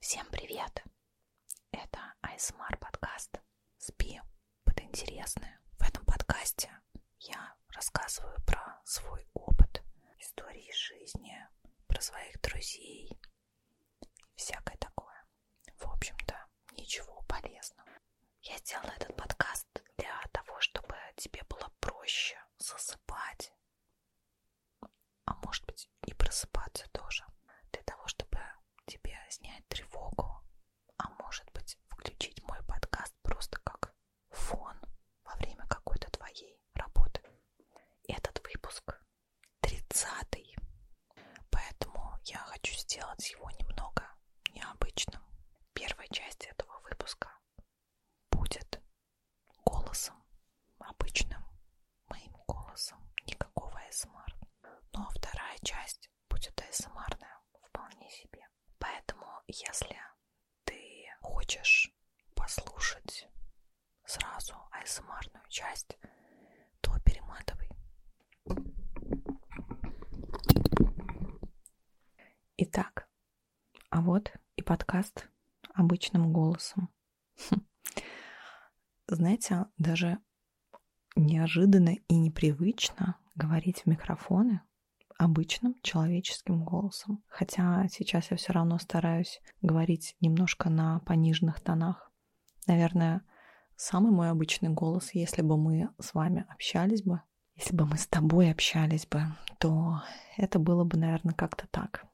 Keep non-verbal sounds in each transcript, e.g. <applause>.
Всем привет! Это ASMR подкаст «Спи под интересное». В этом подкасте я рассказываю про свой опыт, истории жизни, про своих друзей, всякое такое. В общем-то, ничего полезного. Я сделала этот подкаст для того, чтобы тебе было проще засыпать, а может быть и просыпаться тоже, для того, чтобы тебе снять тревогу, а может быть включить мой подкаст просто как фон во время какой-то твоей работы. Этот выпуск тридцатый, поэтому я хочу сделать его немного необычным. Первая часть этого выпуска будет голосом обычным, моим голосом, никакого СМР. Ну а вторая часть будет АСМРная вполне себе. Поэтому, если ты хочешь послушать сразу АСМРную часть, то перематывай. Итак, а вот и подкаст обычным голосом. Хм. <laughs> Знаете, даже неожиданно и непривычно говорить в микрофоны обычным человеческим голосом. Хотя сейчас я все равно стараюсь говорить немножко на пониженных тонах. Наверное, самый мой обычный голос, если бы мы с вами общались бы если бы мы с тобой общались бы, то это было бы, наверное, как-то так.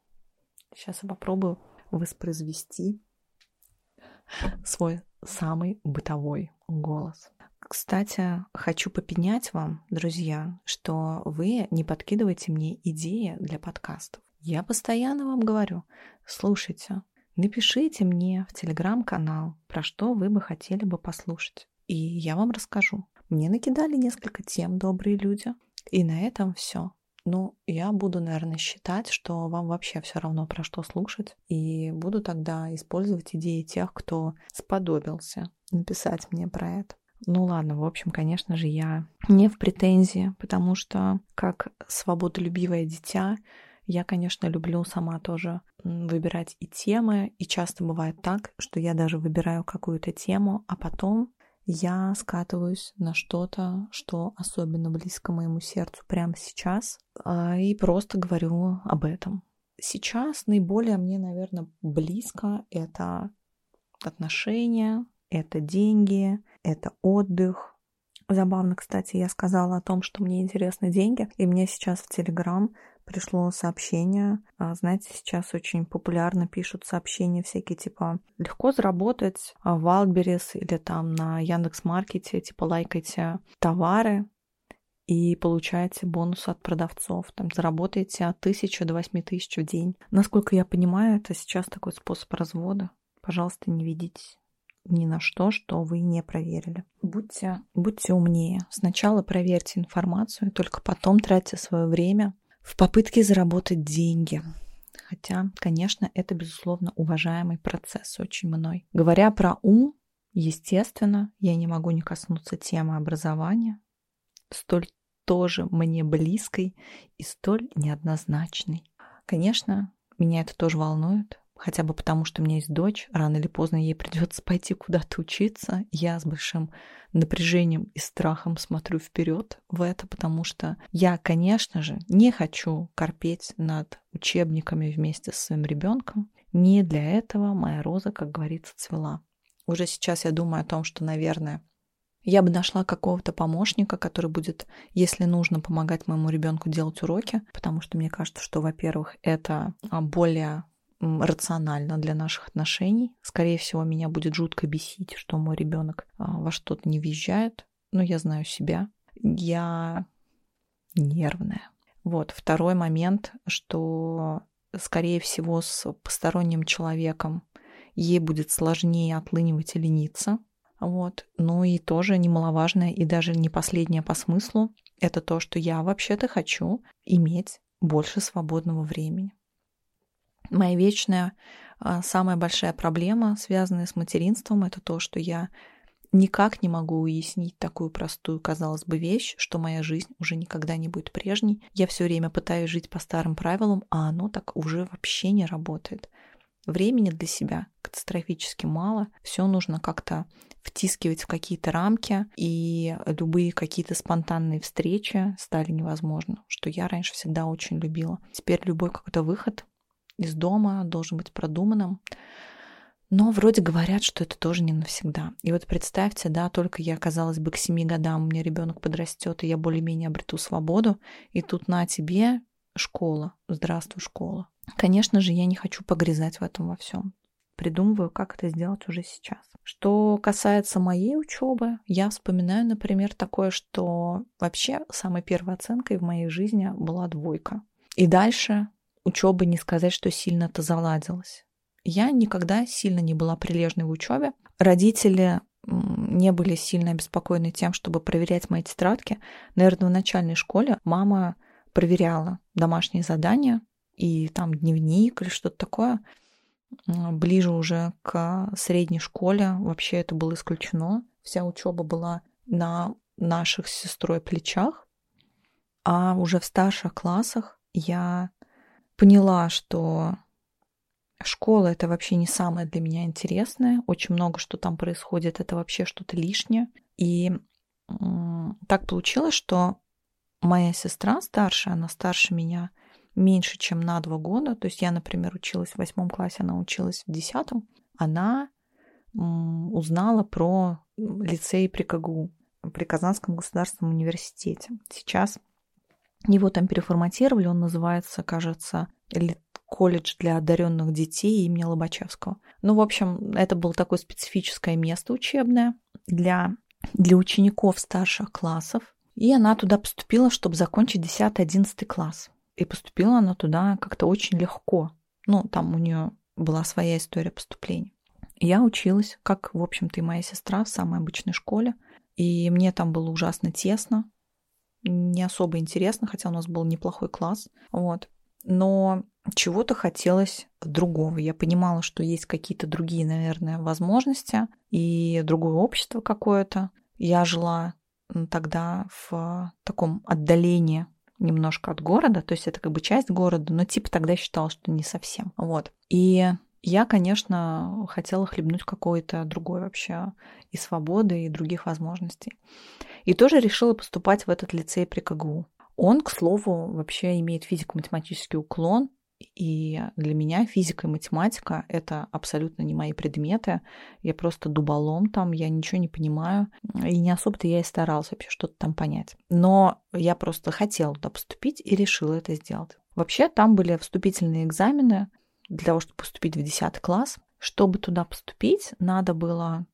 Сейчас я попробую воспроизвести свой самый бытовой голос. Кстати, хочу попенять вам, друзья, что вы не подкидываете мне идеи для подкастов. Я постоянно вам говорю, слушайте, напишите мне в телеграм-канал, про что вы бы хотели бы послушать и я вам расскажу. Мне накидали несколько тем, добрые люди. И на этом все. Ну, я буду, наверное, считать, что вам вообще все равно про что слушать, и буду тогда использовать идеи тех, кто сподобился написать мне про это. Ну ладно, в общем, конечно же, я не в претензии, потому что как свободолюбивое дитя я, конечно, люблю сама тоже выбора, выбирать и темы. И часто бывает так, что я даже выбираю какую-то тему, а потом я скатываюсь на что-то, что особенно близко моему сердцу прямо сейчас, а, и просто говорю об этом. Сейчас наиболее мне, наверное, близко это отношения, это деньги, это отдых. Забавно, кстати, я сказала о том, что мне интересны деньги, и мне сейчас в Телеграм пришло сообщение да. Знаете, сейчас очень популярно пишут сообщения всякие, типа, легко заработать а, в Wildberries или там на Яндекс.Маркете, типа, лайкайте товары, и получаете бонус от продавцов. Там заработаете от 1000 до 8000 в день. Насколько я понимаю, это сейчас такой способ развода. Пожалуйста, не ведитесь ни на что, что вы не проверили контроле. Будьте, будьте умнее. Сначала проверьте информацию, только потом тратьте свое время в попытке заработать деньги. Хотя, конечно, это, безусловно, уважаемый процесс очень мной. Говоря про ум, естественно, я не могу не коснуться темы образования, столь тоже мне близкой и столь неоднозначной. Конечно, меня это тоже волнует, хотя бы потому, что у меня есть дочь, рано или поздно ей придется пойти куда-то учиться, случится, я с большим напряжением и страхом смотрю вперед в это, потому что я, конечно же, не хочу корпеть над учебниками вместе с своим ребенком. Не для этого моя роза, как говорится, цвела. Уже сейчас я думаю о том, что, наверное, я бы нашла какого-то помощника, который будет, если нужно, помогать моему ребенку делать уроки, потому что мне кажется, что, во-первых, это а, более рационально для наших отношений. Скорее всего, меня будет жутко бесить, что мой ребенок а, во что-то не въезжает, но я знаю себя. Я нервная. Вот, второй момент, что, скорее всего, с посторонним человеком ей будет сложнее отлынивать и лениться. Вот. Ну и тоже немаловажное, и даже не последнее по смыслу, это то, что я вообще-то хочу иметь больше свободного времени. Моя вечная, а, самая большая проблема, связанная с материнством, это то, что я никак не могу уяснить такую простую, казалось бы, вещь, что моя жизнь уже никогда не будет прежней. Я все время пытаюсь жить по старым правилам, а оно так уже вообще не работает. Времени для себя катастрофически мало, все нужно как-то пытаться втискивать в какие-то рамки, и любые какие-то спонтанные встречи стали невозможны, что я раньше всегда очень любила. Теперь любой какой-то выход из дома должен быть продуманным, но вроде говорят, что это тоже не навсегда. И вот представьте, да, только я, казалось бы, к семи годам у меня ребенок подрастет, и я более-менее обрету свободу, и тут на тебе школа, здравствуй, школа. Конечно же, я не хочу погрязать в этом во всем придумываю, как это сделать уже сейчас. Что касается моей учебы, я вспоминаю, например, такое, что вообще самой первой оценкой в моей жизни была двойка. И дальше учебы не сказать, что сильно это заладилось. Я никогда сильно не была прилежной в учебе. Родители не были сильно обеспокоены тем, чтобы проверять мои тетрадки. Наверное, в начальной школе мама проверяла домашние задания, и там дневник или что-то такое. А, ближе уже к средней школе вообще это было исключено. Вся учеба была на наших с сестрой плечах. А уже в старших классах я поняла, что школа это вообще не самое для меня интересное. Очень много что там происходит, это вообще что-то лишнее. И так получилось, что моя сестра старшая, она старше меня меньше, чем на два года. То есть я, например, училась в восьмом классе, она училась в десятом. Она узнала про лицей при КГУ, при Казанском государственном университете. Сейчас его там переформатировали, он называется, кажется, колледж для одаренных детей имени Лобачевского. Ну, в общем, это было такое специфическое место учебное для, для учеников старших классов. И она туда поступила, чтобы закончить 10-11 класс. И поступила она туда как-то очень легко. Ну, там у нее была своя история поступления. Я училась, как, в общем-то, и моя сестра в самой обычной школе. И мне там было ужасно тесно, не особо интересно, хотя у нас был неплохой класс. Вот. Но чего-то хотелось другого. Я понимала, что есть какие-то другие, наверное, возможности и другое общество какое-то. Я жила тогда в таком отдалении немножко от города, то есть это как бы часть города, но типа тогда считала, что не совсем. Вот. И я, конечно, хотела хлебнуть какой-то другой вообще и свободы, и других возможностей. И тоже решила поступать в этот лицей при КГУ. Он, к слову, вообще имеет физико-математический уклон, и для меня физика и математика — это абсолютно не мои предметы. Я просто дуболом там, я ничего не понимаю. И не особо-то я и старалась вообще что-то там понять. Но я просто хотела туда поступить и решила это сделать. Вообще там были вступительные экзамены для того, чтобы поступить в 10 класс. Чтобы туда поступить, надо было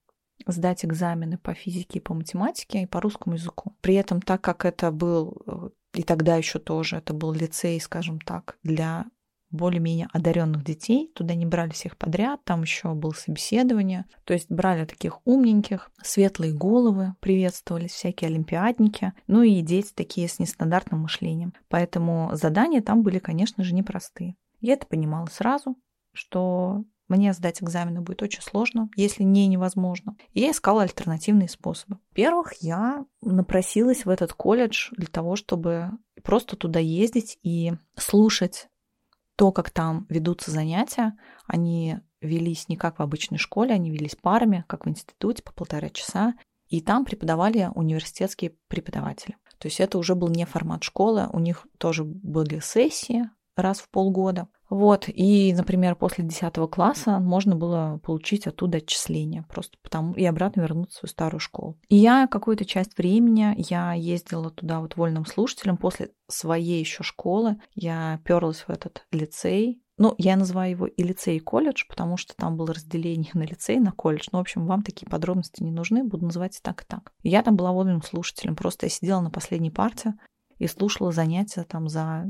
сдать экзамены по физике и по математике и по русскому языку практику. При этом, так как это был, э, и тогда еще тоже, это был лицей, скажем так, для более-менее одаренных детей, туда не брали всех подряд, там еще было собеседование, то есть брали таких умненьких, светлые головы приветствовались, всякие олимпиадники, ну и дети такие с нестандартным мышлением. Поэтому задания там были, конечно же, непростые. Я это понимала сразу, что сложно, мне сдать экзамены будет очень сложно, если не невозможно. И я искала альтернативные способы. Во-первых, я напросилась в этот колледж для того, чтобы просто туда ездить и слушать то, как там ведутся занятия. Они велись не как в обычной школе, они велись парами, как в институте, по полтора часа. И там преподавали университетские преподаватели. То есть это уже был не формат школы, у них тоже были сессии, раз в полгода. Вот, и, например, после 10 класса можно было получить оттуда отчисления, просто потому и обратно вернуться в свою старую школу. И я какую-то часть времени, я ездила туда вот вольным слушателем после своей еще школы, я перлась в этот лицей, ну, я называю его и лицей, и колледж, потому что там было разделение на лицей, на колледж. Ну, в общем, вам такие подробности не нужны, буду называть и так, и так. Я там была вольным слушателем, просто я сидела на последней парте, и слушала занятия там за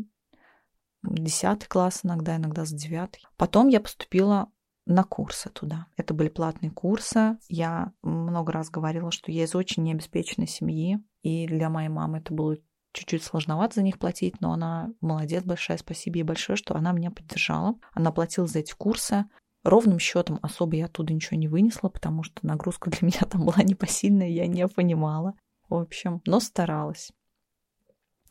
10 класс иногда, иногда за 9. Потом я поступила на курсы туда. Это были платные курсы. Я много раз говорила, что я из очень необеспеченной семьи, и для моей мамы это было чуть-чуть сложновато за них платить, но она молодец, большая спасибо ей большое, что она меня поддержала. Она платила за эти курсы. Ровным счетом особо я оттуда ничего не вынесла, потому что нагрузка для <laughs> меня там была непосильная, я не понимала. В общем, но старалась.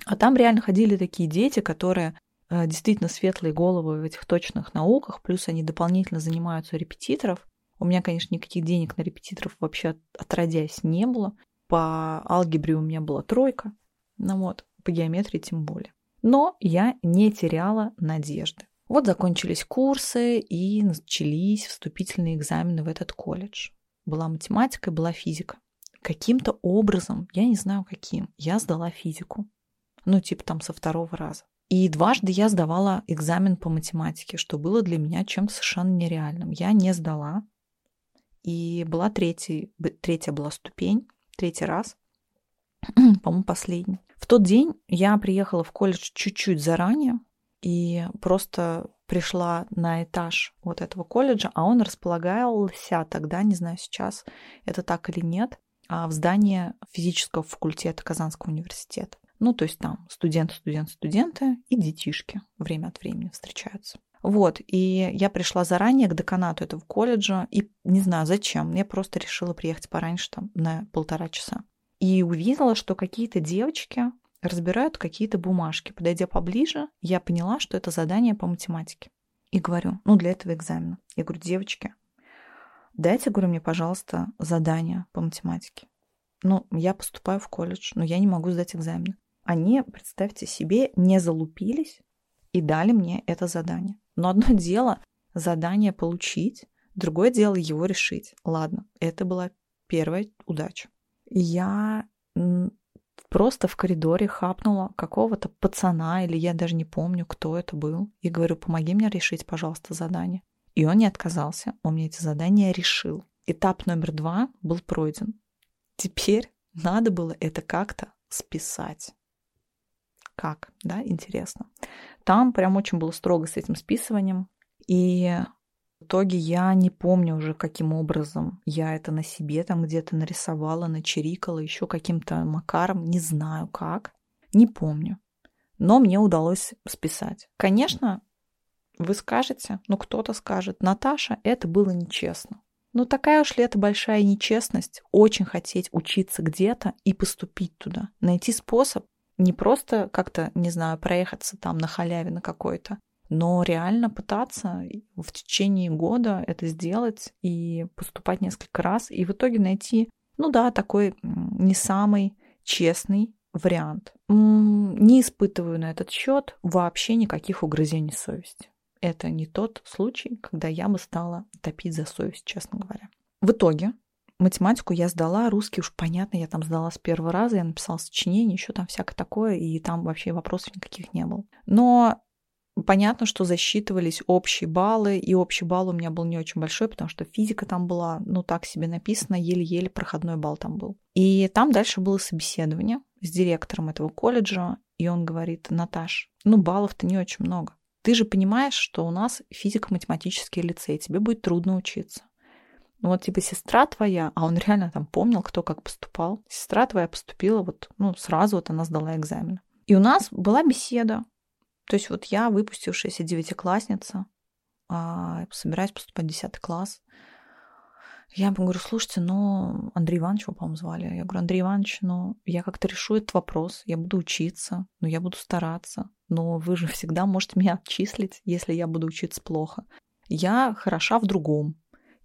А там реально ходили такие дети, которые э, действительно светлые головы в этих точных науках, плюс они дополнительно занимаются у репетиторов. У меня, конечно, никаких денег на репетиторов вообще отродясь не было. По алгебре у меня была тройка, ну вот, по геометрии тем более. Но я не теряла надежды. Вот закончились курсы и начались вступительные экзамены в этот колледж. Была математика и была физика. Каким-то образом, я не знаю каким, я сдала физику. Ну, типа там со второго раза. И дважды я сдавала экзамен по математике, что было для меня чем-то совершенно нереальным. Я не сдала. И была третья, третья была ступень, третий раз, <clears throat> по-моему, последний. В тот день я приехала в колледж чуть-чуть заранее, и просто пришла на этаж вот этого колледжа, а он располагался тогда, не знаю сейчас, это так или нет, а, в здании физического факультета Казанского университета. Ну, то есть там студент, студент, студенты и детишки время от времени встречаются. Вот, и я пришла заранее к деканату этого колледжа, и не знаю зачем, я просто решила приехать пораньше, там, на полтора часа. Инстаграма и увидела, что какие-то девочки разбирают какие-то бумажки. Подойдя поближе, я поняла, что это задание по математике. И говорю, ну, для этого экзамена. Я говорю, девочки, дайте, говорю, мне, пожалуйста, задание по математике. Ну, я поступаю в колледж, но я не могу сдать экзамены. Они, представьте себе, не залупились и дали мне это задание. Но одно <laughs> дело задание получить, другое дело его решить. Ладно, это была Первая удача. Я просто в коридоре хапнула какого-то пацана, или я даже не помню, кто это был, и говорю, помоги мне решить, пожалуйста, задание. И он не отказался, он мне эти задания решил. Этап номер два был пройден. Теперь надо было это как-то списать. Как, да, интересно. Там прям очень было строго с этим списыванием. И в итоге я не помню уже, каким образом я это на себе там где-то нарисовала, начерикала, еще каким-то макаром, не знаю как, не помню. Но мне удалось списать. Конечно, вы скажете, ну кто-то скажет, Наташа, это было нечестно. Ну такая уж ли это большая нечестность, очень хотеть учиться где-то и поступить туда, найти способ не просто как-то, не знаю, проехаться там на халяве на какой-то, но реально пытаться в течение года это сделать и поступать несколько раз, и в итоге найти, ну да, такой не самый честный вариант. Не испытываю на этот счет вообще никаких угрызений совести. Это не тот случай, когда я бы стала топить за совесть, честно говоря. В итоге математику я сдала, русский уж понятно, я там сдала с первого раза, я написала сочинение, еще там всякое такое, и там вообще вопросов никаких не было. Но понятно, что засчитывались общие баллы, и общий балл у меня был не очень большой, потому что физика там была, ну так себе написано, еле-еле проходной балл там был. И там дальше было собеседование с директором этого колледжа, и он говорит, Наташ, ну баллов-то не очень много. Ты же понимаешь, что у нас физико-математический лицей, тебе будет трудно учиться. Ну вот типа сестра твоя, а он реально там помнил, кто как поступал. Сестра твоя поступила вот, ну сразу вот она сдала экзамен. И у нас была беседа. То есть вот я, выпустившаяся девятиклассница, а, собираюсь поступать в 10 класс. Я ему говорю, слушайте, ну, Андрей Иванович, его, по-моему, звали. Я говорю, Андрей Иванович, ну, я как-то решу этот вопрос, я буду учиться, ну, я буду стараться, плохо, но вы же всегда можете меня отчислить, если я буду учиться плохо. Я хороша в другом.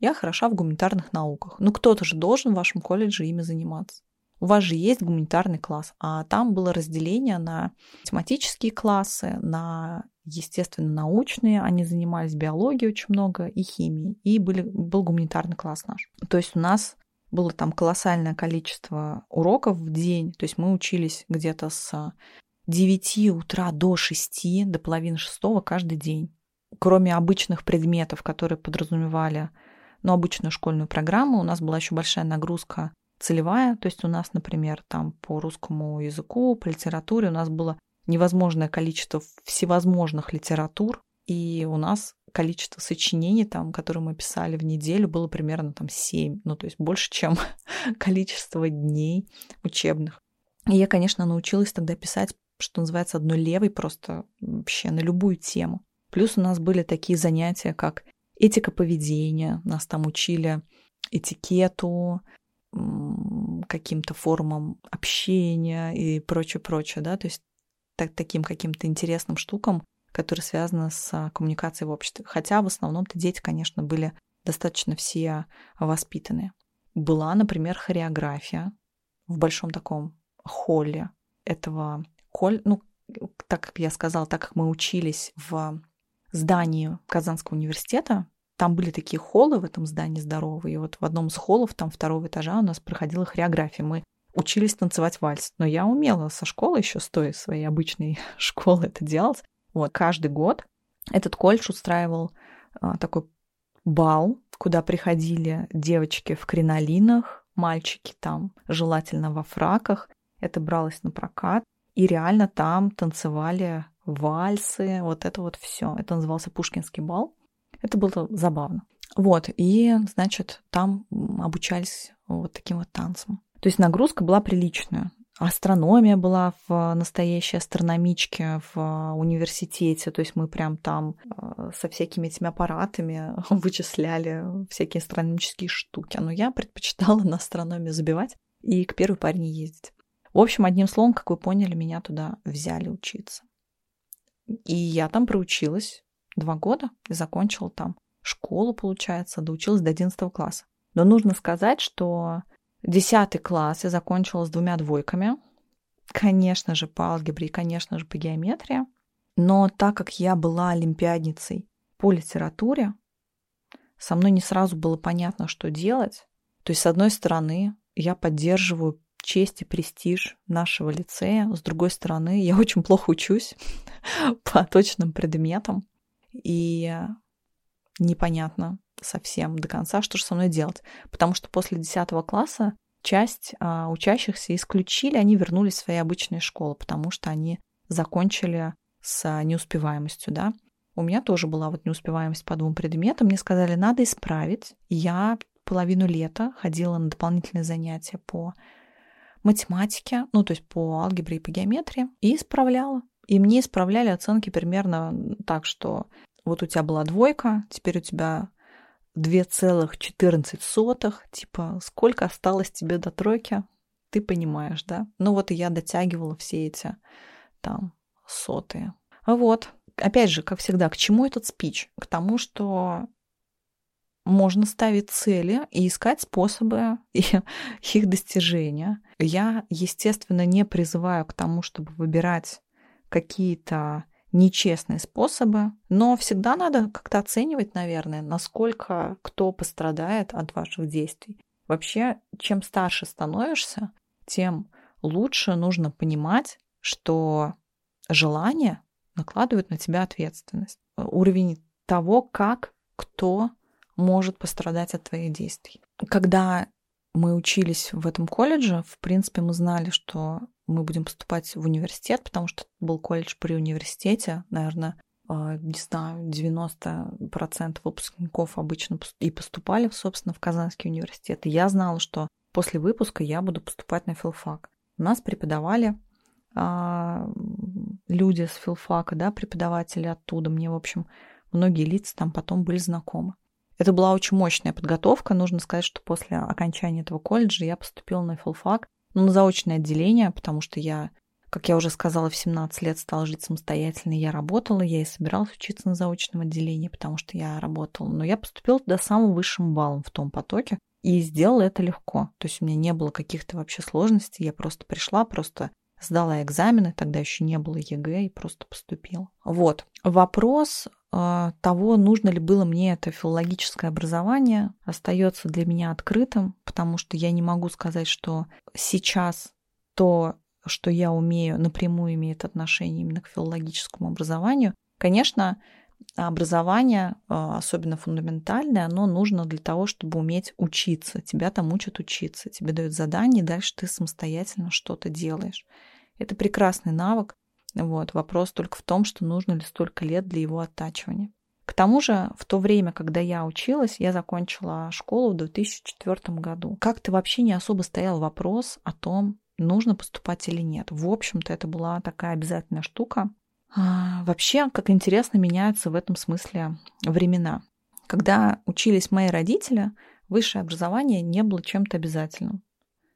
Я хороша в гуманитарных науках. Ну, кто-то же должен в вашем колледже ими заниматься. У вас же есть гуманитарный класс, а там было разделение на тематические классы, на естественно научные, они занимались биологией очень много и химией, и были, был гуманитарный класс наш. То есть у нас было там колоссальное количество уроков в день, то есть мы учились где-то с 9 утра до 6, до половины шестого каждый день. Кроме обычных предметов, которые подразумевали ну, обычную школьную программу, у нас была еще большая нагрузка целевая. То есть у нас, например, там по русскому языку, по литературе у нас было невозможное количество всевозможных литератур, и у нас количество сочинений, там, которые мы писали в неделю, было примерно там 7, ну, то есть больше, чем <laughs> количество дней учебных. И я, конечно, научилась тогда писать, что называется, одной левой просто вообще на любую тему. Плюс у нас были такие занятия, как этика поведения, нас там учили этикету, каким-то формам общения и прочее-прочее, да, то есть так, таким каким-то интересным штукам, которые связаны с а, коммуникацией в обществе. Хотя в основном-то дети, конечно, были достаточно все воспитаны. Была, например, хореография в большом таком холле этого коль, ну, так как я сказала, так как мы учились в здании Казанского университета, там были такие холлы в этом здании здоровые, и вот в одном из холлов, там второго этажа у нас проходила хореография. Мы учились танцевать вальс, но я умела со школы еще, стоя своей обычной <laughs> школы это делать. Вот, каждый год этот колледж устраивал а, такой бал, куда приходили девочки в кринолинах, мальчики там, желательно во фраках. Это бралось на прокат. И реально там танцевали вальсы, вот это вот все. Это назывался Пушкинский бал. Это было забавно. Вот, и, значит, там обучались вот таким вот танцем. То есть нагрузка была приличная. Астрономия была в э, настоящей астрономичке в э, университете, то есть мы прям там э, со всякими этими аппаратами <laughs> вычисляли всякие астрономические штуки. А Но ну, я предпочитала на астрономию забивать и к первой паре не ездить. В общем, одним словом, как вы поняли, меня туда взяли учиться. И я там проучилась два года и закончила там школу, получается, доучилась до 11 класса класс. Но нужно сказать, что 10 класс я закончила с двумя двойками. Конечно же, по алгебре и, конечно же, по геометрии. Но так как я была олимпиадницей по литературе, со мной не сразу было понятно, что делать. То есть, с одной стороны, я поддерживаю честь и престиж нашего лицея. С другой стороны, я очень плохо учусь <laughs> по точным предметам. И непонятно совсем до конца, что же со мной делать. Потому что после 10 класса часть а, учащихся исключили, они вернулись в свои обычные школы, потому что они закончили с а, неуспеваемостью, да. У меня тоже была вот неуспеваемость по двум предметам. Мне сказали, надо исправить. Я половину лета ходила на дополнительные занятия по математике, ну, то есть по алгебре и по геометрии, и исправляла и мне исправляли оценки примерно так, что вот у тебя была двойка, теперь у тебя 2,14, типа сколько осталось тебе до тройки, ты понимаешь, да? Ну вот и я дотягивала все эти там сотые. А вот, опять же, как всегда, к чему этот спич? К тому, что можно ставить цели и искать способы да, <laughs> и их достижения. Я, естественно, не призываю к тому, чтобы выбирать какие-то нечестные способы, но всегда надо как-то оценивать, наверное, насколько кто пострадает от ваших действий. Вообще, чем старше становишься, тем лучше нужно понимать, что желание накладывает на тебя ответственность. Уровень того, как, кто может пострадать от твоих действий. Когда мы учились в этом колледже, в принципе, мы знали, что мы будем поступать в университет, потому что был колледж при университете, наверное, э, не знаю, 90% выпускников обычно и поступали, собственно, в Казанский университет. И я знала, что после выпуска я буду поступать на филфак. Нас преподавали а, люди с филфака, да, преподаватели оттуда. Мне, в общем, многие лица там потом были знакомы. Это была очень мощная подготовка. Нужно сказать, что после окончания этого колледжа я поступила на филфак, ну, на заочное отделение, потому что я, как я уже сказала, в 17 лет стала жить самостоятельно. Я работала, я и собиралась учиться на заочном отделении, потому что я работала. Но я поступила туда самым высшим баллом в том потоке. И сделала это легко. То есть у меня не было каких-то вообще сложностей. Я просто пришла, просто Сдала экзамены, тогда еще не было ЕГЭ и просто поступила. Вот. Вопрос э, того, нужно ли было мне это филологическое образование, остается для меня открытым, потому что я не могу сказать, что сейчас то, что я умею, напрямую имеет отношение именно к филологическому образованию. Конечно, образование, э, особенно фундаментальное, оно нужно для того, чтобы уметь учить учиться, тебя там учат учиться, тебе дают задание, и дальше ты самостоятельно что-то делаешь. Это прекрасный навык, вот, вопрос только в том, что нужно ли столько лет для его оттачивания. К тому же, в то время, когда я училась, я закончила школу в 2004 году. Как-то вообще не особо стоял вопрос о том, нужно поступать или нет. В общем-то, это была такая обязательная штука. А, вообще, как интересно меняются в этом смысле времена. Когда учились мои родители, высшее образование не было чем-то обязательным.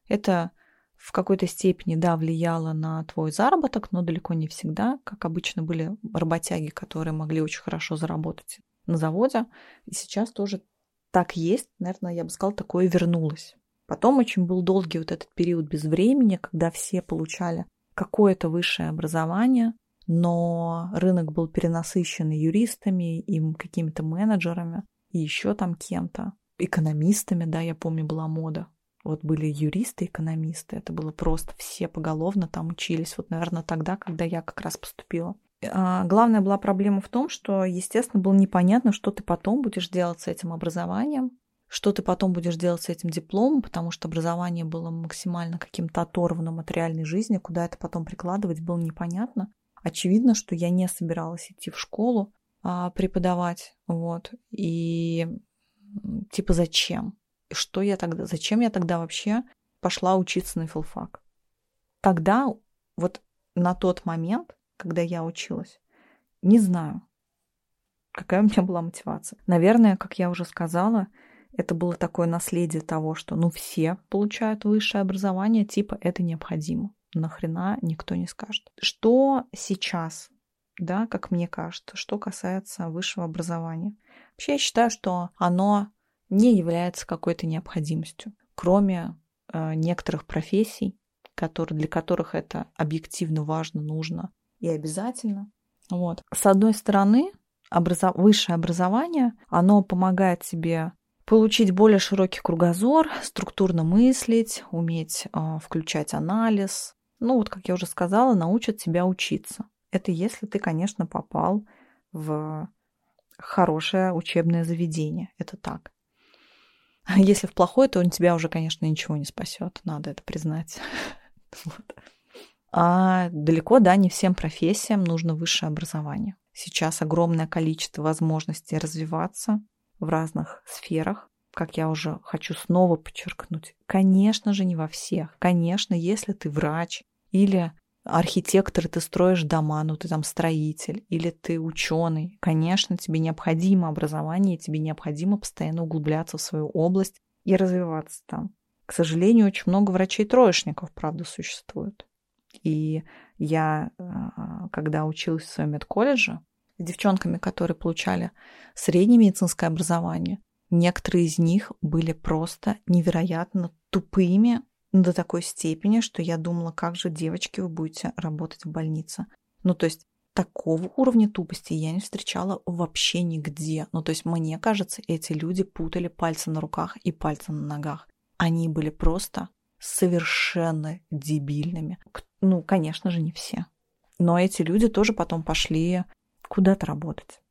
Это в какой-то степени, да, влияло на твой заработок, но далеко не всегда, как обычно были работяги, которые могли очень хорошо заработать на заводе. И сейчас тоже так есть, наверное, я бы сказала, такое вернулось. Потом очень был долгий вот этот период без времени, когда все получали какое-то высшее образование, но рынок был перенасыщен юристами, и какими-то менеджерами, и еще там кем-то, экономистами, да, я помню, была мода. Вот были юристы, экономисты, это было просто все поголовно там учились. Вот, наверное, тогда, когда я как раз поступила. А главная была проблема в том, что, естественно, было непонятно, что ты потом будешь делать с этим образованием, что ты потом будешь делать с этим дипломом, потому что образование было максимально каким-то оторванным от реальной жизни, куда это потом прикладывать, было непонятно. Очевидно, что я не собиралась идти в школу а, преподавать, вот, и типа зачем? Что я тогда, зачем я тогда вообще пошла учиться на филфак? Тогда, вот на тот момент, когда я училась, не знаю, какая у меня была мотивация получается. Наверное, как я уже сказала, это было такое наследие того, что ну все получают высшее образование, типа это необходимо. Нахрена никто не скажет. Что сейчас, да, как мне кажется, что касается высшего образования? Вообще я считаю, что оно не является какой-то необходимостью, кроме э, некоторых профессий, которые, для которых это объективно важно, нужно и обязательно. Вот. С одной стороны, образов... высшее образование, оно помогает тебе получить более широкий кругозор, структурно мыслить, уметь э, включать анализ. Ну вот, как я уже сказала, научат тебя учиться. Это если ты, конечно, попал в хорошее учебное заведение. Это так. <laughs> Если в плохое, то он тебя уже, конечно, ничего не спасет. Надо это признать. <laughs> Вот. А далеко, да, не всем профессиям нужно высшее образование. Сейчас огромное количество возможностей развиваться в разных сферах. Как я уже хочу снова подчеркнуть, конечно же, не во всех. Конечно, если ты врач или архитектор, ты строишь дома, ну ты там строитель, или ты ученый, конечно, тебе необходимо образование, тебе необходимо постоянно углубляться в свою область и развиваться там. К сожалению, очень много врачей-троечников, правда, существует. И я, э, когда училась в своем медколледже, с девчонками, которые получали среднее медицинское образование, некоторые из них были просто невероятно тупыми до такой степени, что я думала, как же, девочки, вы будете работать в больнице. Ну, то есть такого уровня тупости глупостей я не встречала вообще нигде. Ну, то есть, мне кажется, эти люди путали пальцы на руках и пальцы на ногах. Они были просто совершенно дебильными. Ну, конечно же, не все. Но эти люди тоже потом пошли куда-то работать.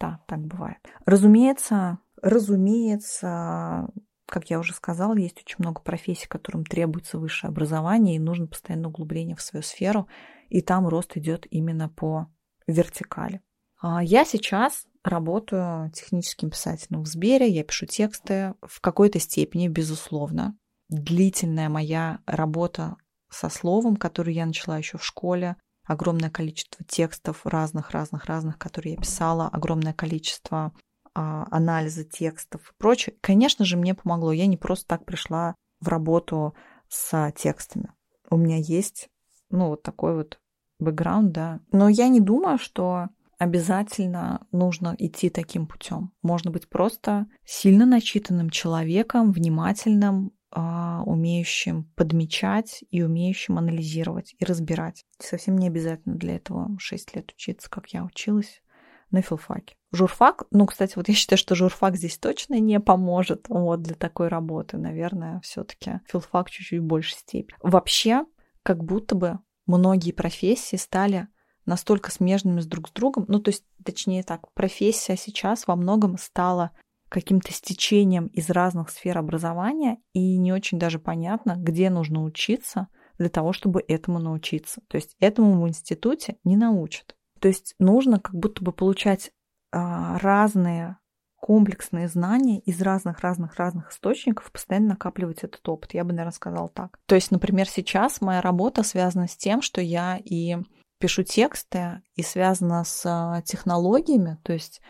Да, так бывает. Разумеется, разумеется, как я уже сказала, есть очень много профессий, которым требуется высшее образование, и нужно постоянно углубление в свою сферу, и там рост идет именно по вертикали. А я сейчас работаю техническим писателем в Сбере, я пишу тексты в какой-то степени, безусловно. Длительная моя работа со словом, которую я начала еще в школе, огромное количество текстов разных-разных-разных, которые я писала, огромное количество а, анализа текстов и прочее. Конечно же, мне помогло. Я не просто так пришла в работу с текстами. У меня есть, ну, вот такой вот бэкграунд, да. Но я не думаю, что обязательно нужно идти таким путем. Можно быть просто сильно начитанным человеком, внимательным, а, умеющим подмечать и умеющим анализировать и разбирать. Совсем не обязательно для этого 6 лет учиться, как я училась на филфаке. Журфак, ну, кстати, вот я считаю, что журфак здесь точно не поможет может вот для такой работы, наверное, все-таки филфак чуть-чуть больше степени. Вообще, как будто бы многие профессии стали настолько смежными с друг с другом, ну то есть, точнее так, профессия сейчас во многом стала каким-то стечением из разных сфер образования, и не очень даже понятно, где нужно учиться для того, чтобы этому научиться. То есть этому в институте не научат. То есть нужно как будто бы получать а, разные комплексные знания из разных-разных-разных источников постоянно накапливать этот опыт. Я бы, наверное, сказала так. То есть, например, сейчас моя работа связана с тем, что я и пишу тексты, и связана с а, технологиями, то есть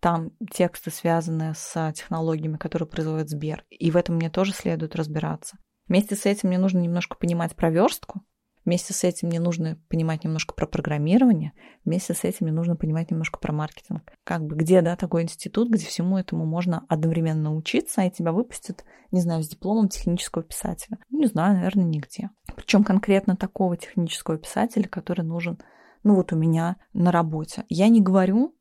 там тексты связаны с технологиями, которые производит Сбер, и в этом мне тоже следует разбираться. Вместе с этим мне нужно немножко понимать про верстку, Вместе с этим мне нужно понимать немножко про программирование, вместе с этим мне нужно понимать немножко про маркетинг. Как бы где, да, такой институт, где всему этому можно одновременно научиться, а и тебя выпустят, не знаю, с дипломом технического писателя. Ну, не знаю, наверное, нигде. Причем конкретно такого технического писателя, который нужен, ну вот у меня на работе. Я не говорю,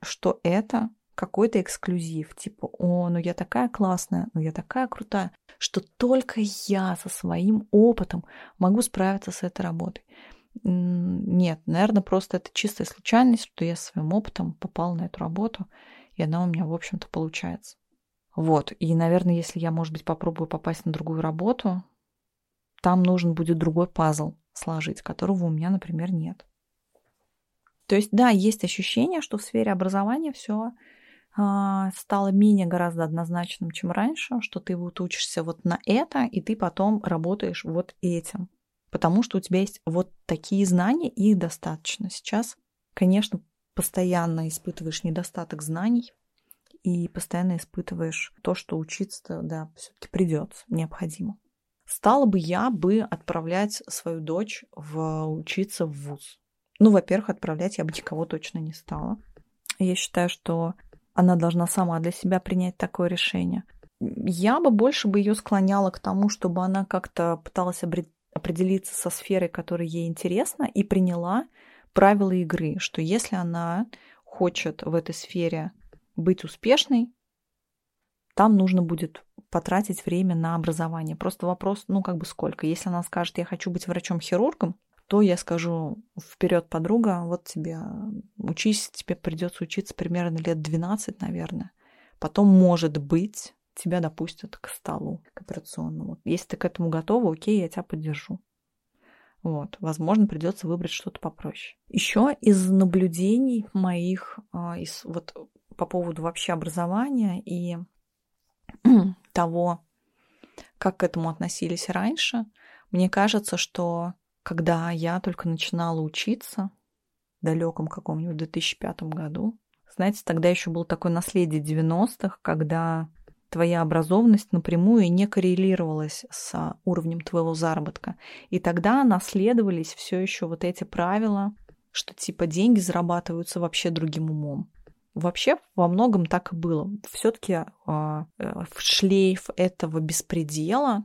что это какой-то эксклюзив, типа, о, ну я такая классная, ну я такая крутая понимаю, что только я со своим опытом могу справиться с этой работой. Нет, наверное, просто это чистая случайность, что я своим опытом попал на эту работу, и она у меня, в общем-то, получается. Вот, и, наверное, если я, может быть, попробую попасть на другую работу, там нужен будет другой пазл сложить, которого у меня, например, нет. То есть, да, есть ощущение, что в сфере образования все а, стало менее гораздо однозначным, чем раньше, что ты вот учишься вот на это, и ты потом работаешь вот этим. Потому что у тебя есть вот такие знания, и их достаточно. Сейчас, конечно, постоянно испытываешь недостаток знаний, и постоянно испытываешь то, что учиться, да, все-таки придется, необходимо. Стала бы я бы отправлять свою дочь в учиться в ВУЗ. Ну, во-первых, отправлять я бы никого точно не стала. Я считаю, что она должна сама для себя принять такое решение. Я бы больше бы ее склоняла к тому, чтобы она как-то пыталась определиться со сферой, которая ей интересна, и приняла правила игры, что если она хочет в этой сфере быть успешной, там нужно будет потратить время на образование. Просто Просто вопрос, ну, как бы сколько. Если она скажет, я хочу быть врачом-хирургом, то я скажу, вперед, подруга, вот тебе учись, тебе придется учиться примерно лет 12, наверное. Потом, может быть, тебя допустят к столу, к операционному. Если ты к этому готова, окей, я тебя поддержу. Вот, возможно, придется выбрать что-то попроще. Еще из наблюдений моих, а, из, вот по поводу вообще образования и <clears throat> того, как к этому относились раньше, мне кажется, что когда я только начинала учиться, в далеком каком-нибудь 2005 году, знаете, тогда еще был такое наследие 90-х, когда твоя образованность напрямую не коррелировалась с уровнем твоего заработка. И тогда наследовались все еще вот эти правила, что типа деньги зарабатываются вообще другим умом. Вообще во многом так и было. Все-таки э, а, э, шлейф этого беспредела,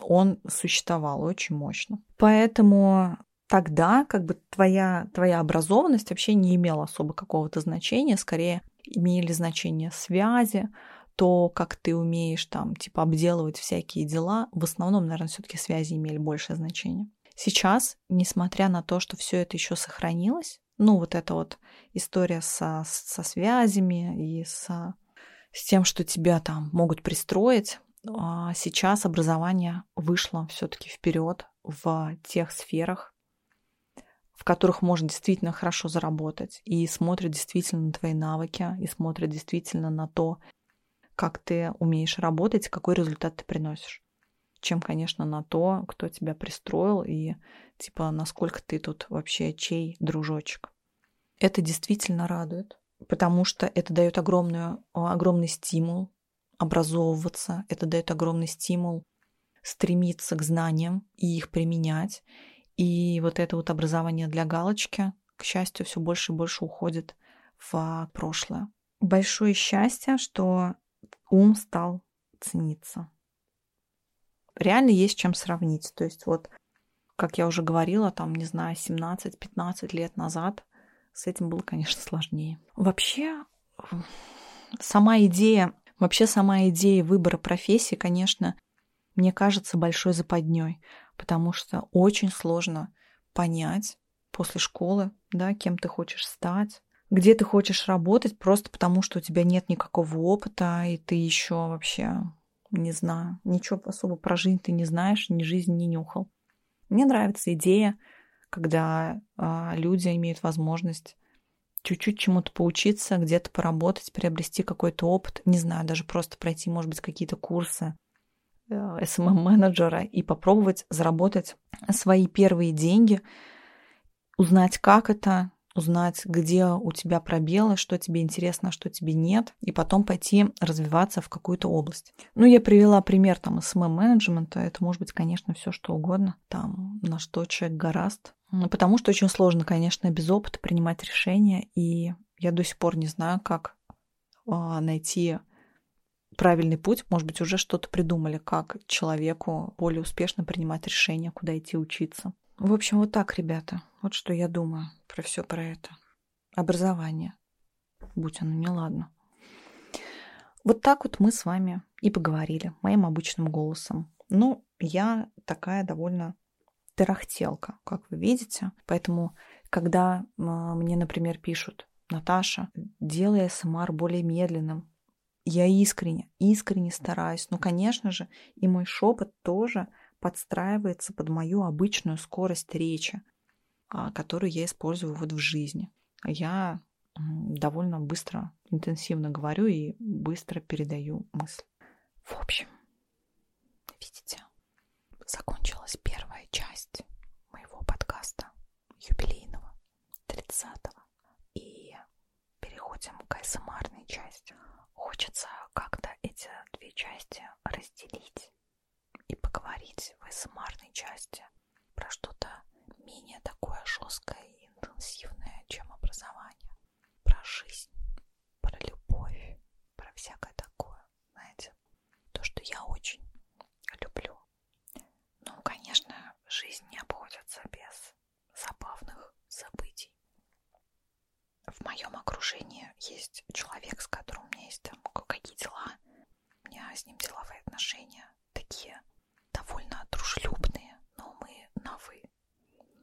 он существовал очень мощно. Поэтому тогда как бы твоя, твоя образованность вообще не имела особо какого-то значения, скорее имели значение связи, то, как ты умеешь там, типа, обделывать всякие дела, в основном, наверное, все-таки связи имели большее значение. Сейчас сейчас, несмотря на то, что все это еще сохранилось, ну, вот эта вот история со, со связями и со, с тем, что тебя там могут пристроить, а сейчас образование вышло все-таки вперед в тех сферах, в которых можно действительно хорошо заработать, и смотрят действительно на твои навыки, и смотрят действительно на то, как ты умеешь работать, какой результат ты приносишь хочешь, чем, конечно, на то, кто тебя пристроил и, типа, насколько ты тут вообще чей дружочек. Это действительно радует, потому что это дает огромную, а, огромный стимул образовываться, это дает огромный стимул стремиться к знаниям и их применять. И вот это вот образование для галочки, к счастью, все больше и больше уходит в а, прошлое большое счастье, что ум стал цениться. Реально есть чем сравнить. То есть вот, как я уже говорила, там, не знаю, 17-15 лет назад с этим было, конечно, сложнее. Вообще, сама идея, вообще сама идея выбора профессии, конечно, мне кажется, большой западней, потому что очень сложно понять, после школы, да, кем ты хочешь стать, где ты хочешь работать, просто потому что у тебя нет никакого опыта, и ты еще вообще, не знаю, ничего особо про жизнь ты не знаешь, ни жизнь не нюхал. Мне нравится идея, когда э, люди имеют возможность чуть-чуть чему-то поучиться, где-то поработать, приобрести какой-то опыт, не знаю, даже просто пройти, может быть, какие-то курсы SMM-менеджера э, эм эм и попробовать заработать свои первые деньги, узнать, как это, узнать, где у тебя пробелы, что тебе интересно, что тебе нет, и потом пойти развиваться в какую-то область. Ну, я привела пример там СММ-менеджмента, это может быть, конечно, все что угодно, там, на что человек гораст. Ну, потому что очень сложно, конечно, без опыта принимать решения, и я до сих пор не знаю, как а, найти правильный путь, может быть, уже что-то придумали, как человеку более успешно принимать решения, куда идти учиться. В общем, вот так, ребята. Вот что я думаю про все про это. Образование. Будь оно неладно. Вот так вот мы с вами и поговорили моим обычным голосом. Ну, я такая довольно тарахтелка, как вы видите. Поэтому, когда а, мне, например, пишут, Наташа, делай СМР более медленным. Я искренне, искренне стараюсь. Но, ну, конечно же, и мой шепот тоже подстраивается под мою обычную скорость речи, а, которую я использую вот в жизни. Я довольно быстро, интенсивно говорю и быстро передаю мысль. В общем, видите, закончилась первая часть моего подкаста юбилейного, 30-го. И переходим к АСМРной части. Хочется как-то эти две части разделить и поговорить в АСМРной части про что-то менее такое жесткое и интенсивное, чем образование. Про жизнь, про любовь, про всякое такое, знаете. То, что я очень люблю ну, конечно, жизнь не обходится без забавных событий. В моем окружении есть человек, с которым у меня есть там какие дела. У меня с ним деловые отношения такие довольно дружелюбные, но мы на «вы».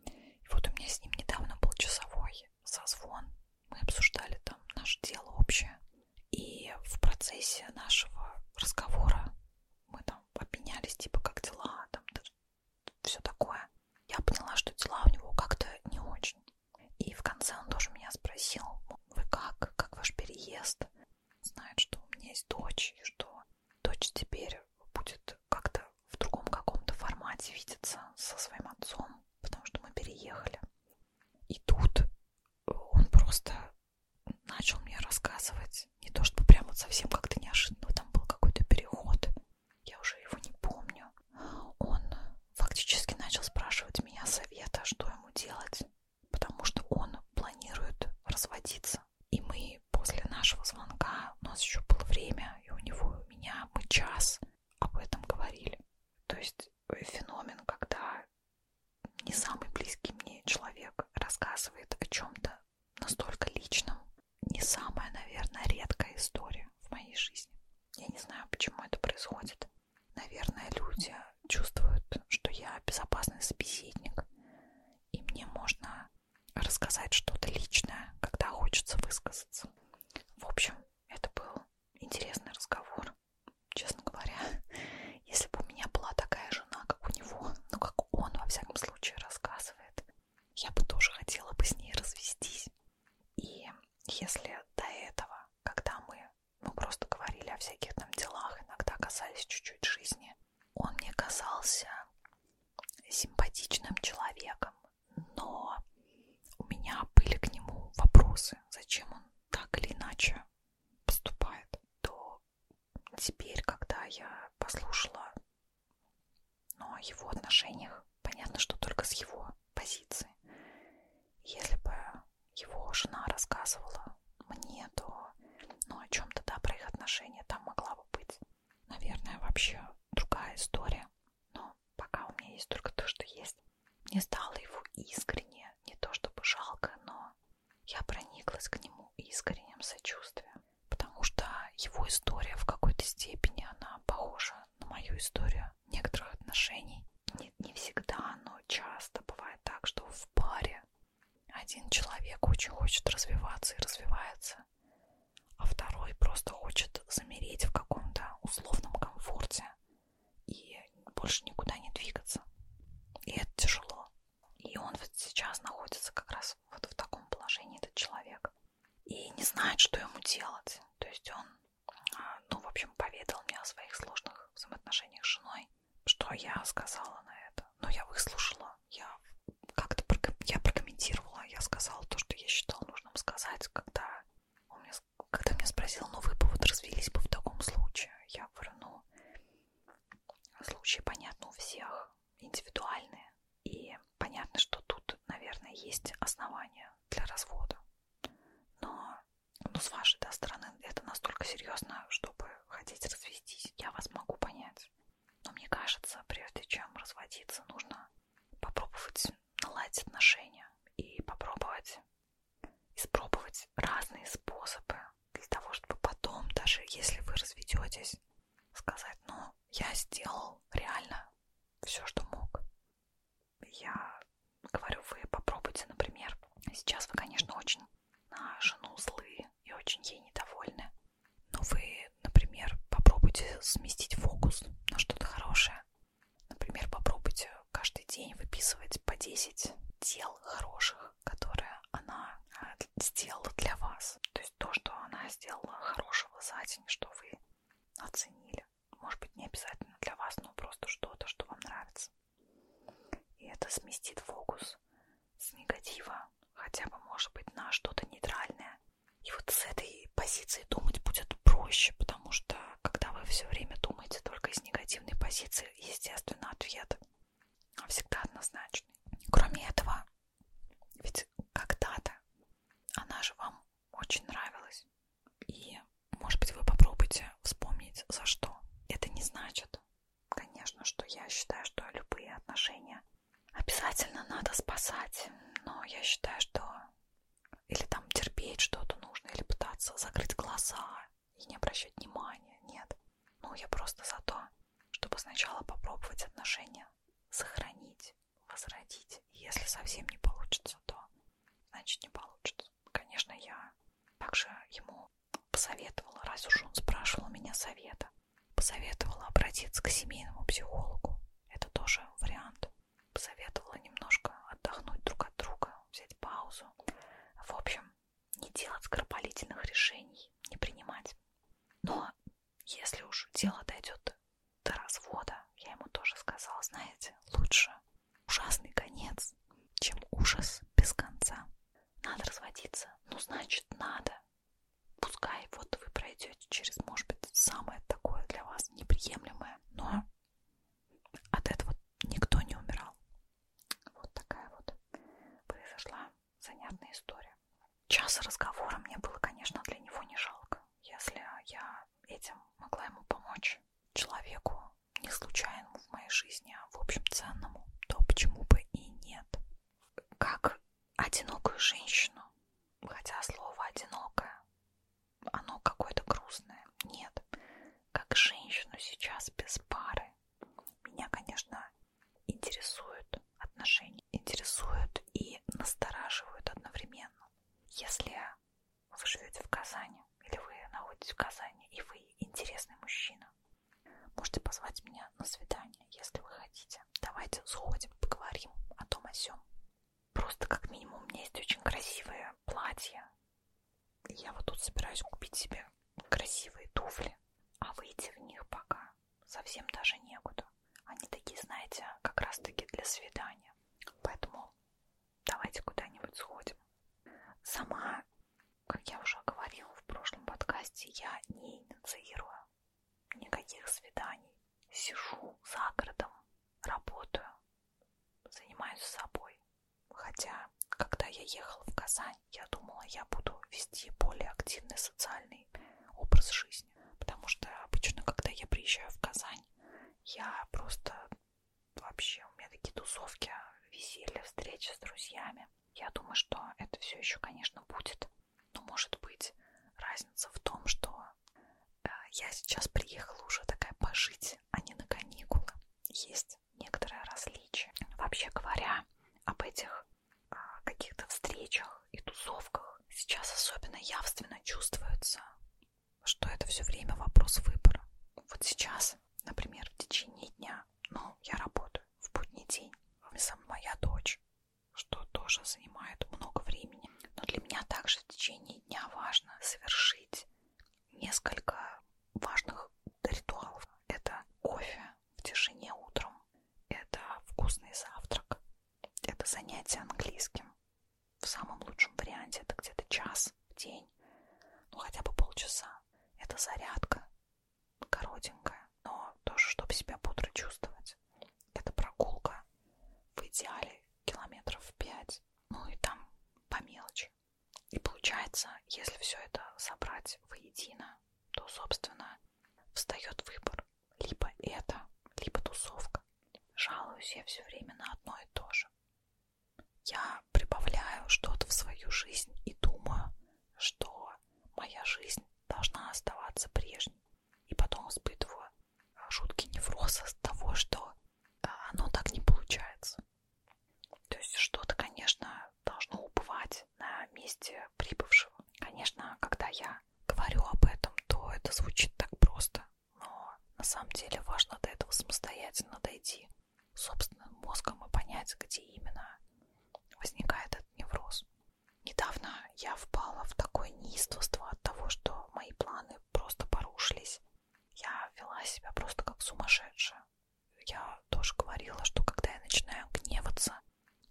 И вот у меня с ним недавно был часовой созвон. Мы обсуждали там наше дело общее. И в процессе нашего разговора мы там обменялись, типа, как дела, там, все такое. Я поняла, что дела у него как-то не очень. И в конце он тоже меня спросил, вы как, как ваш переезд? Знает, что у меня есть дочь, и что дочь теперь будет как-то в другом каком-то формате видеться со своим отцом, потому что мы переехали. И тут он просто начал мне рассказывать, не то чтобы прям вот совсем как-то неожиданно, там был какой-то переход, я уже его не помню. Он фактически начал спрашивать меня совета, что ему делать, потому что он планирует разводиться. И мы после нашего звонка, у нас еще было время, и у него, и у меня, мы час об этом говорили. То есть феномен, когда не самый близкий мне человек рассказывает о чем-то настолько личном. Не самая, наверное, редкая история в моей жизни. Я не знаю, почему это происходит. Наверное, люди чувствуют, что я безопасный собеседник, и мне можно рассказать что-то личное, когда хочется высказаться. В общем, это был интересный разговор честно говоря, <laughs> если бы у меня была такая жена, как у него, ну как он во всяком случае рассказывает, я бы тоже хотела бы с ней развестись. И если до этого, когда мы ну, просто говорили о всяких там делах, иногда касались чуть-чуть жизни, он мне казался симпатичным человеком, но у меня были к нему вопросы, зачем он так или иначе поступает, то теперь, когда я послушала но ну, о его отношениях, понятно, что только с его позиции. Если бы его жена рассказывала мне, то ну, о чем-то, да, про их отношения там могла бы быть. Наверное, вообще другая история. Но пока у меня есть только то, что есть. Мне стало его искренне, не то чтобы жалко, но я прониклась к нему искренним сочувствием, потому что его история в какой-то степени, она похожа на мою историю некоторых отношений. Не, не всегда, но часто бывает так, что в паре один человек очень хочет развиваться и развивается, а второй просто хочет замереть в каком-то условном комфорте, и больше никуда не двигаться. И это тяжело. И он вот сейчас находится как раз вот в таком положении, этот человек. И не знает, что ему делать. То есть он, а, ну, в общем, поведал мне о своих сложных взаимоотношениях с женой. Что я сказала на это? Ну, я выслушала. Я как-то проком... я прокомментировала. Я сказала то, что я считала нужным сказать, когда он меня, когда меня спросил, ну, вы бы вот развелись бы в таком случае. Я говорю, ну, случаи, понятно, у всех индивидуальные. И понятно, что тут, наверное, есть основания для развода. Но ну, с вашей да, стороны это настолько серьезно, чтобы хотеть развестись. Я вас могу понять. Но мне кажется, прежде чем разводиться, нужно попробовать наладить отношения и попробовать испробовать разные способы для того, чтобы потом, даже если вы разведетесь, сказать, ну, я сделал реально все, что мог. Я говорю, вы попробуйте, например, сейчас вы, конечно, очень на жену злые и очень ей недовольны, но вы, например, попробуйте сместить фокус на что-то хорошее. Например, попробуйте каждый день выписывать по 10 дел хороших, которое она э, сделала для вас. То есть то, что она сделала хорошего за день, что вы оценили. Может быть, не обязательно для вас, но просто что-то, что вам нравится. И это сместит фокус с негатива хотя бы, может быть, на что-то нейтральное. И вот с этой позиции думать будет проще, потому что когда вы все время думаете только из негативной позиции, естественно, ответ ответ всегда однозначный. Кроме этого, ведь когда-то она же вам очень нравилась. И, может быть, вы попробуйте вспомнить, за что. Это не значит, конечно, что я считаю, что любые отношения обязательно надо спасать. Но я считаю, что или там терпеть что-то нужно, или пытаться закрыть глаза, и не обращать внимания, нет. Ну, я просто за то, чтобы сначала попробовать отношения сохранить, возродить. Если совсем не получится, то значит не получится. Конечно, я также ему посоветовала, раз уж он спрашивал меня совета, посоветовала обратиться к семейному психологу. Это тоже вариант. Посоветовала немножко отдохнуть друг от друга, взять паузу. В общем, не делать скоропалительных решений, не принимать. Но если уж дело дойдет до развода, я ему тоже сказала, знаете, лучше ужасный конец, чем ужас без конца. Надо разводиться, ну значит надо. Пускай вот вы пройдете через, может быть, самое такое для вас неприемлемое, но от этого никто не умирал. Вот такая вот произошла занятная история. Час разговора мне было, конечно, для него не жалко. Если я этим могла ему помочь, человеку, не случайному в моей жизни, а в общем ценному, то почему бы и нет. Как одинокую женщину, хотя слово «одинокое», оно какое-то грустное, нет. Как женщину сейчас без пары, меня, конечно, интересуют отношения, интересуют и настораживают одновременно. Если вы живете в Казани или вы находитесь в Казани и вы интересный мужчина, можете позвать меня на свидание, если вы хотите. Давайте сходим, поговорим о том о сём. Просто как минимум у меня есть очень красивые платья, я вот тут собираюсь купить себе красивые туфли, а выйти в них пока совсем даже некуда. Они такие, знаете, как раз таки для свидания. Поэтому давайте куда-нибудь сходим. Сама, как я уже говорила в прошлом подкасте, я не инициирую никаких свиданий. Сижу за городом, работаю, занимаюсь собой. Хотя, когда я ехала в Казань, я думала, я буду вести более активный социальный образ жизни. Потому что обычно, когда я приезжаю в Казань, я просто вообще, у меня такие тусовки, веселье, встречи с друзьями. Я думаю, что это все еще, конечно, будет. Но может быть разница в том, что э, я сейчас приехала уже такая пожить, а не на каникулы. Есть есть некоторое различие. Вообще говоря, об этих а, каких-то встречах и тусовках сейчас особенно явственно чувствуется, что это все время вопрос выбора. Вот сейчас, например, в течение дня, ну, я работаю в будний день, со мной моя дочь, что тоже занимает много времени. Но для меня также в течение дня важно совершить несколько важных ритуалов. Это кофе в тишине утром, это вкусный завтрак, это занятие английским. В самом лучшем варианте это где-то час в день, ну хотя бы полчаса. Это зарядка, коротенькая, но тоже, чтобы себя бодро чувствовать. Это прогулка, в идеале километров пять, ну и там по мелочи. И получается, если все это собрать воедино, то, собственно, встает выбор. Либо это, либо тусовка. Жалуюсь я все время на одно и то же. Я прибавляю что-то в свою жизнь и думаю, что моя жизнь должна оставаться прежней. И потом испытываю а, жуткий невроз от <laughs> того, что а, оно так не получается. То есть что-то, конечно, должно убывать на месте прибывшего. Конечно, когда я говорю об этом, то это звучит так просто, но на самом деле важно до этого самостоятельно дойти собственным мозгом и понять, где именно возникает этот невроз. Недавно я впала в такое неистовство от того, что мои планы просто порушились. Я вела себя просто как сумасшедшая я тоже говорила, что когда я начинаю гневаться,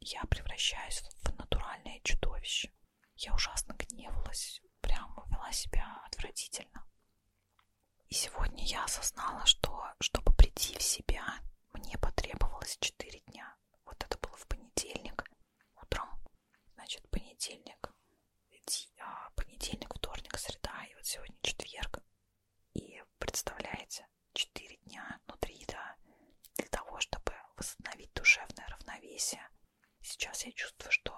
я превращаюсь в натуральное чудовище. Я ужасно гневалась, прям вела себя отвратительно. И сегодня я осознала, что, чтобы прийти в себя, мне потребовалось 4 дня. Вот это было в понедельник утром. Значит, понедельник, а, понедельник, вторник, среда, и вот сегодня четверг. И представляете, 4 дня внутри еда для того, чтобы восстановить душевное равновесие. Сейчас я чувствую, что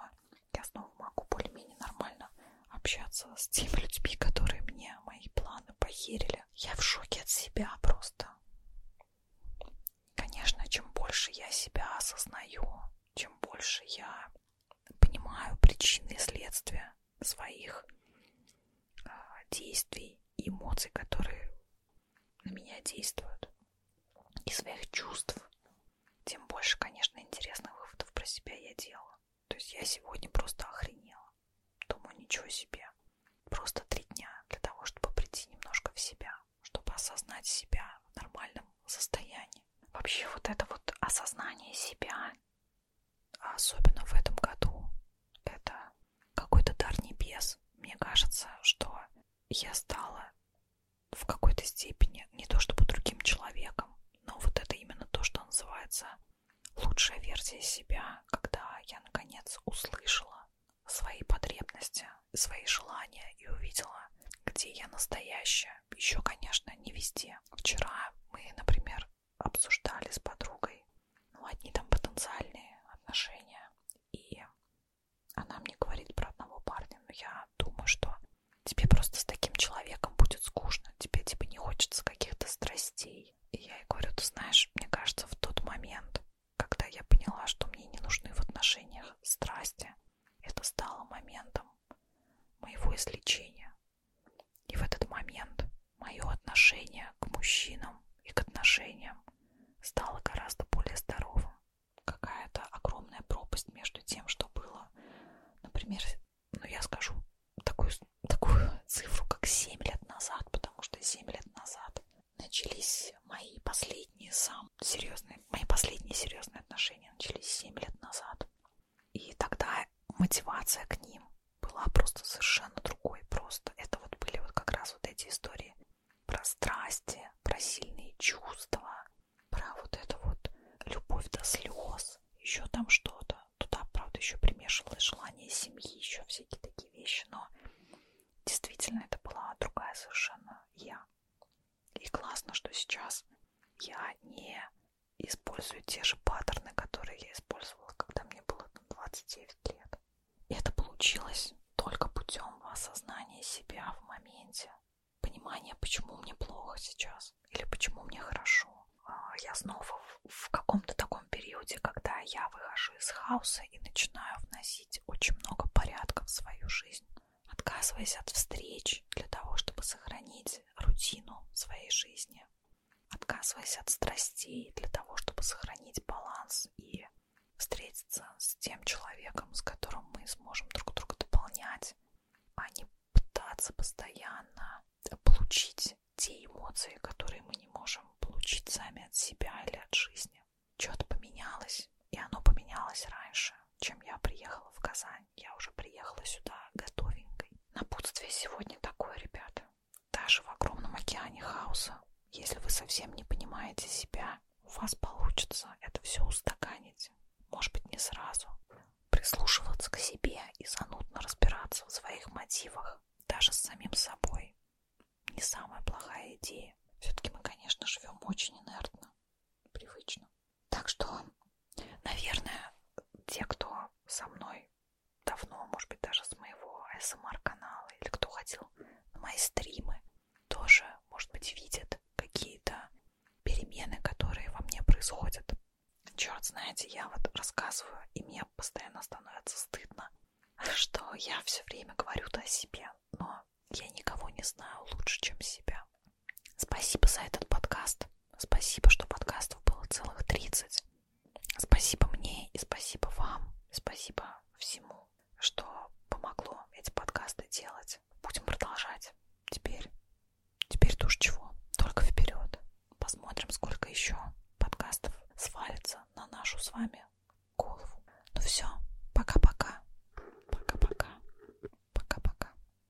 я снова могу более-менее нормально общаться с теми людьми, которые мне мои планы похерили. Я в шоке от себя просто. Конечно, чем больше я себя осознаю, чем больше я понимаю причины и следствия своих э, действий, эмоций, которые на меня действуют, и своих чувств, тем больше, конечно, интересных выводов про себя я делала. То есть я сегодня просто охренела. Думаю, ничего себе. Просто три дня для того, чтобы прийти немножко в себя, чтобы осознать себя в нормальном состоянии. Вообще вот это вот осознание себя а особенно в этом году, это какой-то дар небес. Мне кажется, что я стала в какой-то степени не то чтобы другим человеком, но вот это именно то, что называется лучшая версия себя, когда я наконец услышала свои потребности, свои желания и увидела, где я настоящая. Еще, конечно, не везде, Вчера мы, например, обсуждали с подругой, ну, одни там потенциальные отношения, и она мне говорит про одного парня, но я думаю, что тебе просто с таким человеком будет скучно, тебе типа не хочется каких-то страстей. И я ей говорю, ты знаешь, мне кажется, в тот момент, когда я поняла, что мне не нужны в отношениях страсти, это стало моментом моего излечения. И в этот момент мое отношение к мужчинам и к отношениям стало гораздо более здоровым. Какая-то огромная пропасть между тем, что было. Например, ну я скажу такую, такую цифру, как 7 лет назад, потому что 7 лет назад начались мои последние сам серьезные, мои последние серьезные отношения начались 7 лет назад. И тогда мотивация к ним была просто совершенно другой. Просто это вот были вот как раз вот эти истории про страсти, про сильные чувства, про вот это вот любовь до слез, еще там что-то. Туда, правда, еще примешивалось желание семьи, еще всякие такие вещи, но действительно это была другая совершенно я. И классно, что сейчас я не использую те же паттерны, которые я использовала, когда мне было 29 лет. И это получилось только путем осознания себя в моменте, понимания, почему мне плохо сейчас или почему мне хорошо. А, я снова в каком-то таком периоде, когда я выхожу из хаоса и начинаю вносить очень много порядка в свою жизнь, отказываясь от встреч для того, чтобы сохранить менять рутину своей жизни, отказываясь от страстей для того, чтобы сохранить баланс и встретиться с тем человеком, с которым мы сможем друг друга дополнять, а не пытаться постоянно получить те эмоции, которые мы не можем получить сами от себя или от жизни. Что-то поменялось, и оно поменялось раньше, чем я приехала в Казань я уже приехала сюда готовенькой. Напутствие сегодня такое, ребята. Даже в огромном океане хаоса, если вы совсем не понимаете себя, у вас получится это все устаканить. Может быть, не сразу. Прислушиваться к себе и занудно разбираться в своих мотивах, даже с самим собой. Не самая плохая идея. Все-таки мы, конечно, живем очень инертно, привычно. Так что, наверное, те, кто со мной давно, может быть, даже с моего СМР-канала, или кто ходил на мои стримы, тоже, может быть, видят какие-то перемены, которые во мне происходят. Черт, знаете, я вот рассказываю, и мне постоянно становится стыдно, <laughs> что я все время говорю-то о себе, но я никого не знаю лучше, чем себя. Спасибо за этот подкаст. Спасибо, что подкастов было целых 30. Спасибо мне и спасибо вам. Спасибо всему, что помогло эти подкасты делать. Будем продолжать. Теперь, теперь то уж чего. Только вперед. Посмотрим, сколько еще подкастов свалится на нашу с вами голову. Ну все, пока-пока. Пока-пока. Пока-пока.